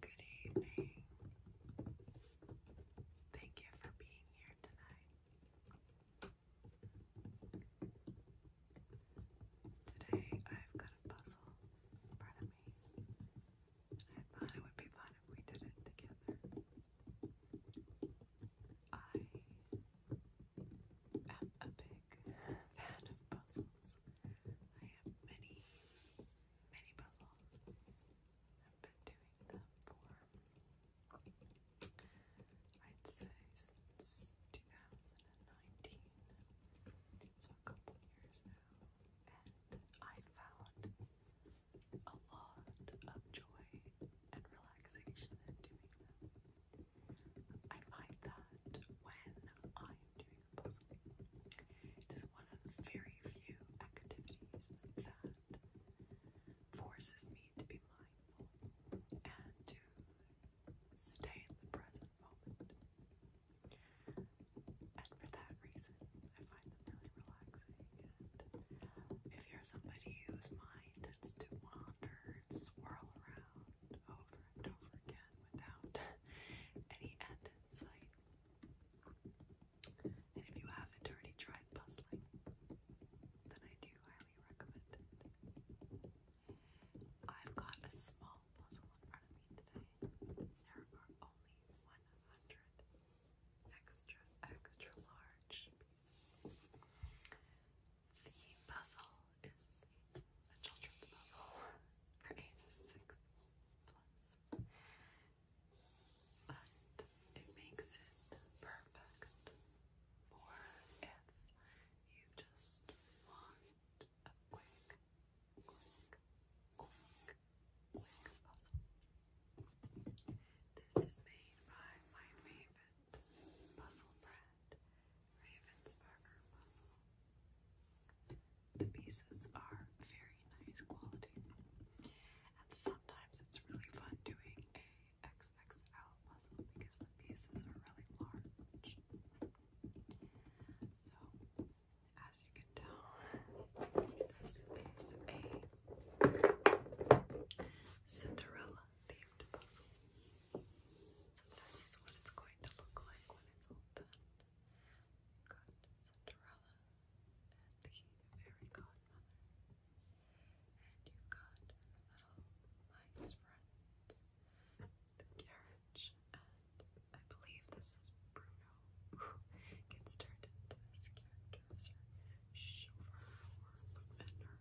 Good evening. Thank you for being here tonight. Today I've got a puzzle in front of me. I thought it would be fun if we did it together. I a big fan of puzzles. I have many, many puzzles. I've been doing them for, I'd say, since 2019. So a couple years now. And I found a lot of joy and relaxation in doing them. I find that when I am doing a puzzle, it is one of the very few activities that forces me to be mindful and to stay in the present moment. And for that reason, I find them really relaxing. if you're somebody whose mind tends to wander and swirl around over over again without any end in sight. And if you haven't already tried puzzling, then I do highly recommend I've got a small puzzle in front of me today. There are only 100 extra, extra large pieces. The puzzle is a children's puzzle for ages six plus. But it makes it perfect for if you just want a quick, quick, quick, quick puzzle. This is made by my favorite puzzle brand, Ravens puzzle. The pieces are very nice quality. And sometimes it's really fun doing a XXL puzzle because the pieces are really large. So, as you can tell, this is a Cinderella themed puzzle. So this is what it's going to look like when it's all done. we got Cinderella and the fairy godmother. And you got little mice friends, the carriage, and I believe this is Bruno gets turned into this character as her chauffeur and her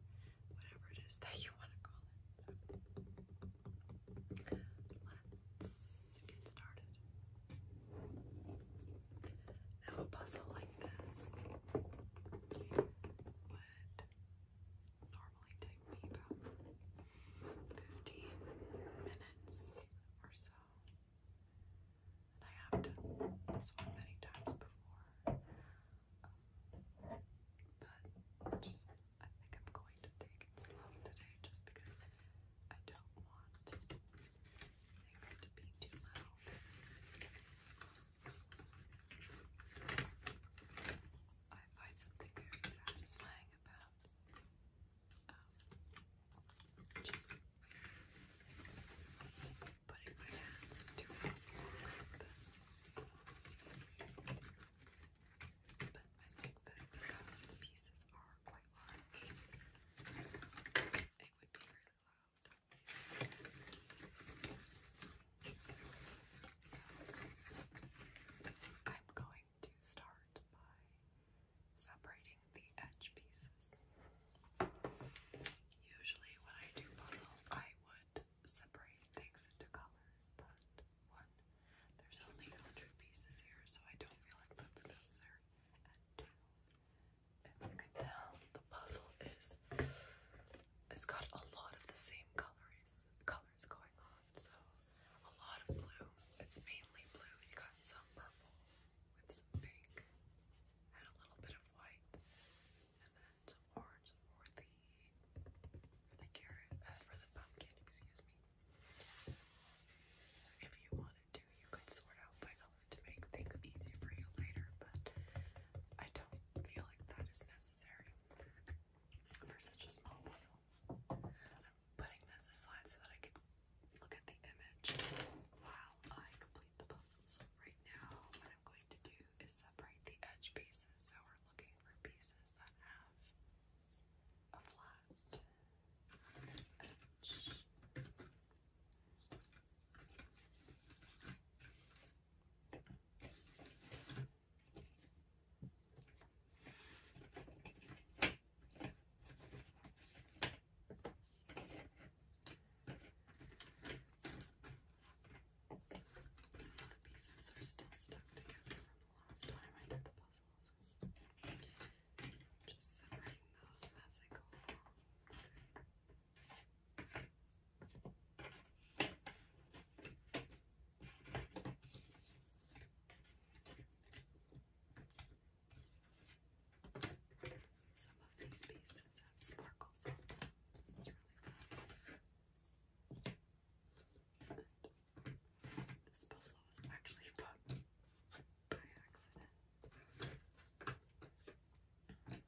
whatever it is that you want to call it. let's get started. Now, a puzzle like this would normally take me about 15 minutes or so. And I have done this one many times before more. Um, but I think I'm going to take it slow today just because I don't want things to be too loud. I find something very satisfying about um, just putting my hands into this. But I think that because the pieces are quite large, it would be really loud. So I'm going to start by separating the edge pieces. Usually, when I do puzzle, I would separate things into color, but one, there's only 100 pieces here, so I don't feel like that's necessary. And two, if you can tell, the puzzle is, it's got a lot of the same colors, colors going on, so a lot of blue. It's mainly blue. You got some purple with some pink and a little bit of white, and orange for the for the carrot uh, for the pumpkin, excuse me. if you wanted to, you could sort out by color to make things easier for you later, but I don't feel like that is necessary for such a small puzzle. I'm putting this aside so that I can look at the image while I complete the puzzles. Right now, what I'm going to do is separate the edge pieces, so we're looking for pieces that have a flat edge the pieces are still stuck together from the last time I did the puzzles. Just separating those as I go Some of these pieces have sparkles It's really fun. And this puzzle was actually put by accident. My partner actually bought, bought it for me as a Christmas gift.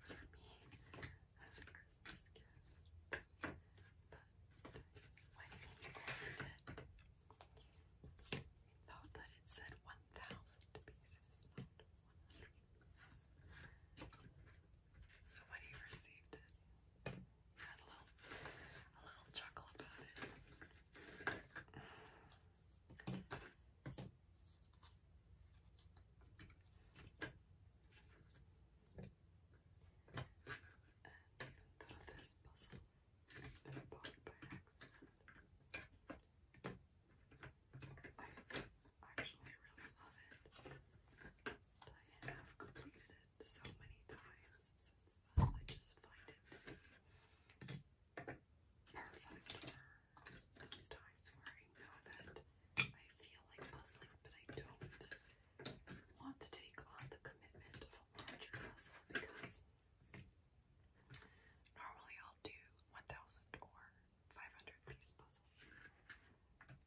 But when he opened it, I thought that it said 1,000 pieces. So when he received it, he had a little, a little chuckle about it. And even though this puzzle that I bought by accident. I actually really love it. I have completed it so many times since then. I just find it perfect for those times where I know that I feel like puzzling, but I don't want to take on the commitment of a larger puzzle because Normally I'll do 1,000 or 500 piece puzzles.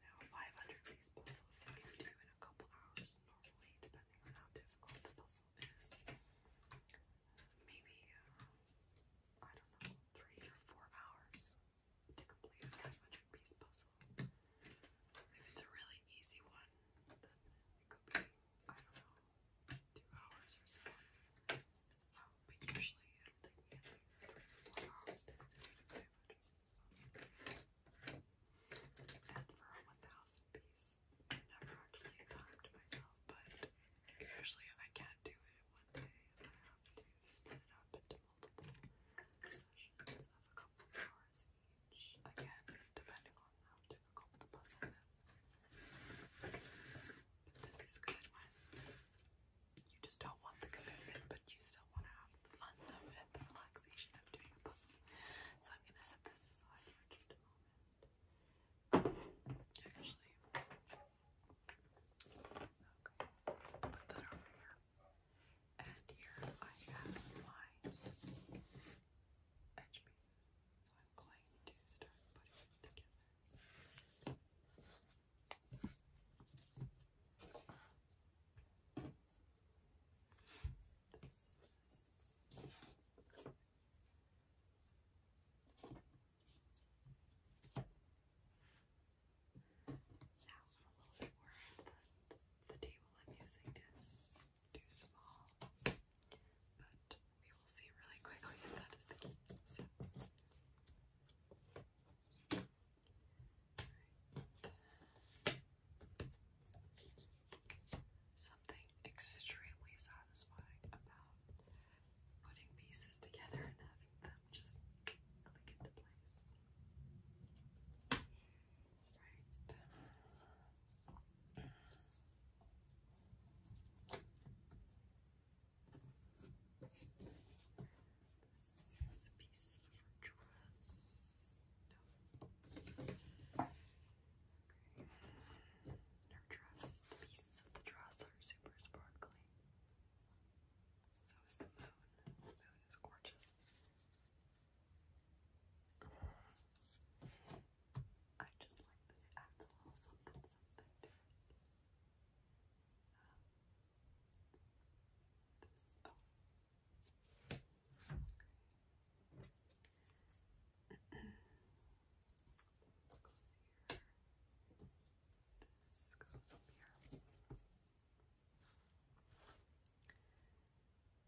Now 500 piece puzzles I can do in a couple hours normally, depending on how difficult the puzzle is. Maybe, uh, I don't know, three or four hours to complete a 500 piece puzzle. If it's a really easy one, then it could be I don't know, two hours or so. but usually it'll take me at least three to four hours to complete a food. And for a 1000 piece, I never actually timed myself, but usually I can't do it in one day I have to split it up into multiple sessions of a couple of hours change again depending on how difficult the puzzle is. But this is good when you just don't want the commitment, but you still want to have the fun of it, the relaxation of doing a puzzle. So I'm gonna set this aside for just a moment. Actually, put that over here. And here I have my edge pieces. So I'm going to start putting it together. This now I'm a little bit worried that the table I'm using is too small. But we will see really quickly if that is the case. Something extremely satisfying about putting pieces together and having them just click into place. Right. This is piece of dress. Okay. the pieces of the dress are super sparkly. So is the moon. The moon is gorgeous. I just like that it adds a little something, something to um, this, Okay. Oh. this goes here. This goes up here.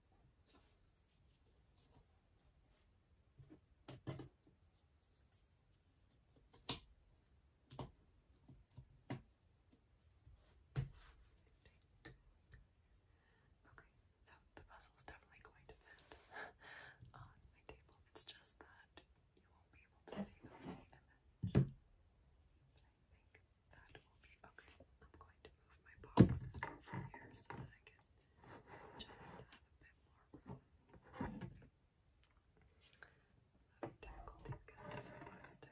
Okay, so the puzzle is definitely going to fit on my table. It's just that you won't be able to see the full But I think that will be okay. I'm going to move my box from here so that I can just a bit more difficulty because it doesn't There we go. Okay. Oh, now, here, like that.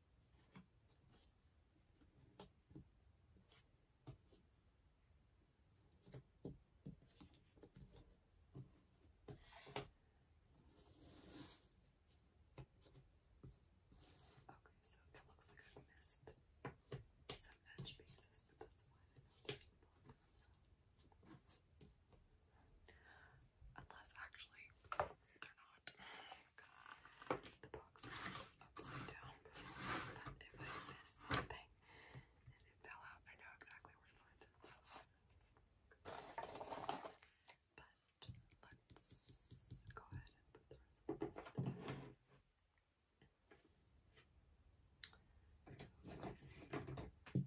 Okay, so it looks like i missed some edge pieces, but that's fine. Unless actually they're not, because the box was upside down But if I missed something and it fell out, I know exactly where to find it. So. But let's go ahead and put the rest of this so let me see our girl over here.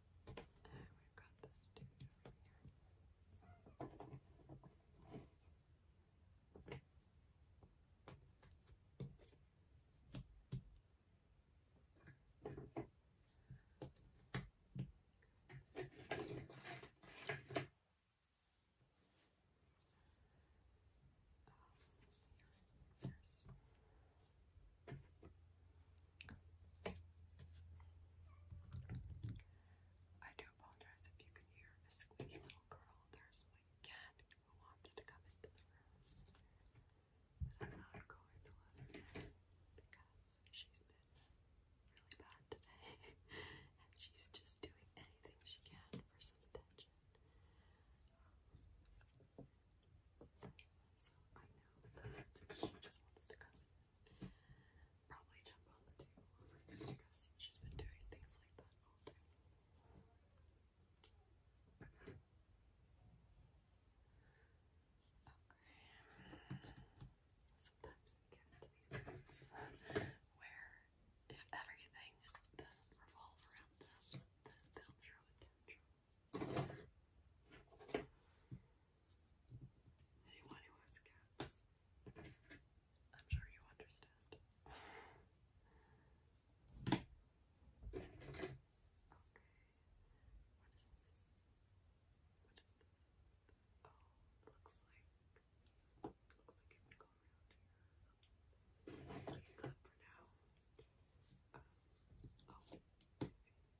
And we've got this tooth over here. Um, here, here's I do apologize if you can hear a squeaky little girl. There's my cat who wants to come into the room. I'm not going to let her because she's been really bad today and she's just doing anything she can for some attention. Um, so I know that she just wants to come probably jump on the table because she's been doing things like that all day. Sometimes we get into these moments where if everything doesn't revolve around them, then they'll throw a tantrum. Anyone who has cats, I'm sure you understand. okay, what is this? What is this? Oh, looks like looks like it would go around here. that for now. oh,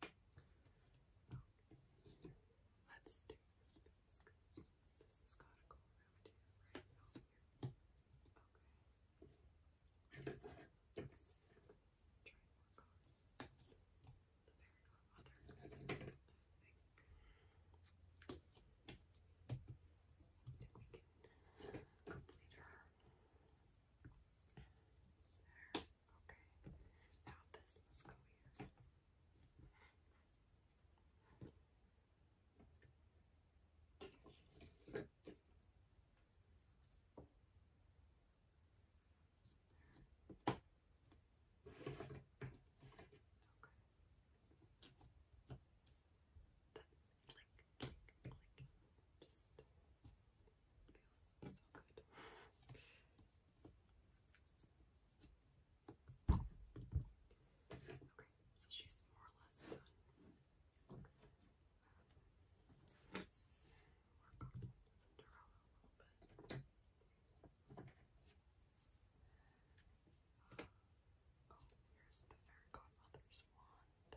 Okay. Let's do this because this has got to go around here, right here. Okay. Let's try and work on the very others. I think. we can complete her. There. Okay, now this must go here. okay. click, click, click. Just Feels so Okay, so she's more or less done. let's work on Cinderella a little bit. oh, uh, here's the fairy godmother's wand.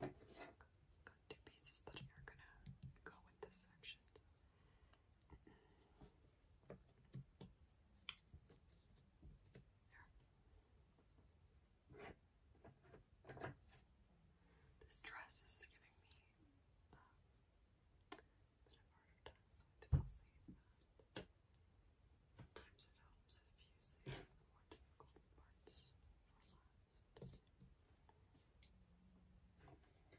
Got two pieces that are gonna go with this section. This dress is giving me uh, a bit of hard time, so I think I'll save Sometimes it helps if you save more difficult parts for last. I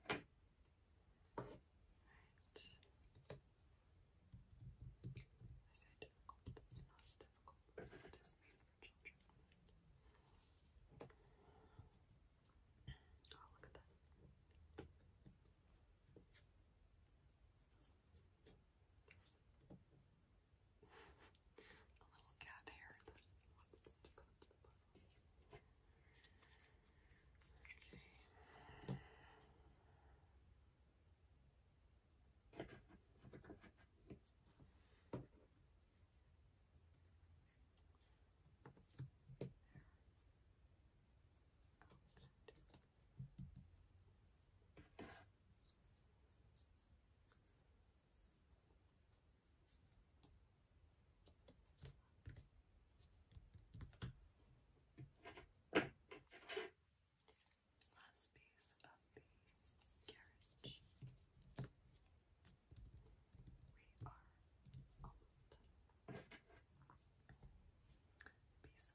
say difficult, it's not difficult because it is made for children. Oh, look at that a little cat hair that wants to come to the puzzle. Okay. There. Oh, Last piece of the carriage. We are almost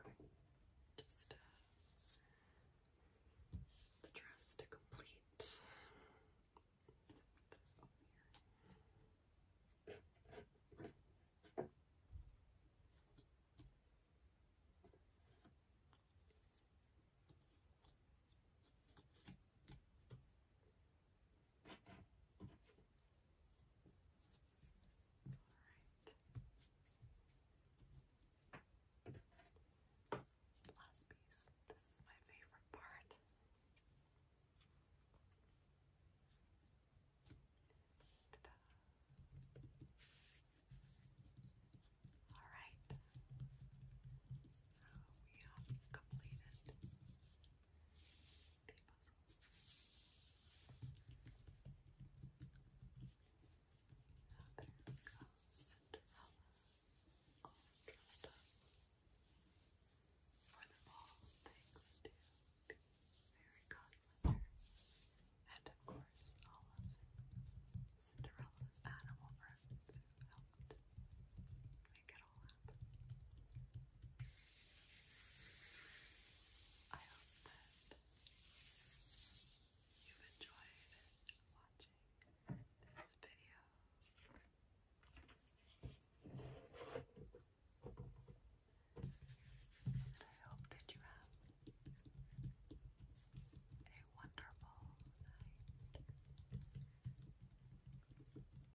Okay, just uh, the dress to complete. Alright. Last piece. This is my favorite part. Alright. we have completed the puzzle. there comes Cinderella, all dressed up for the ball, thanks to the fairy godmother, and of course all of Cinderella's animal friends who helped pick I hope that you've enjoyed watching this video. And I hope that you have a wonderful night.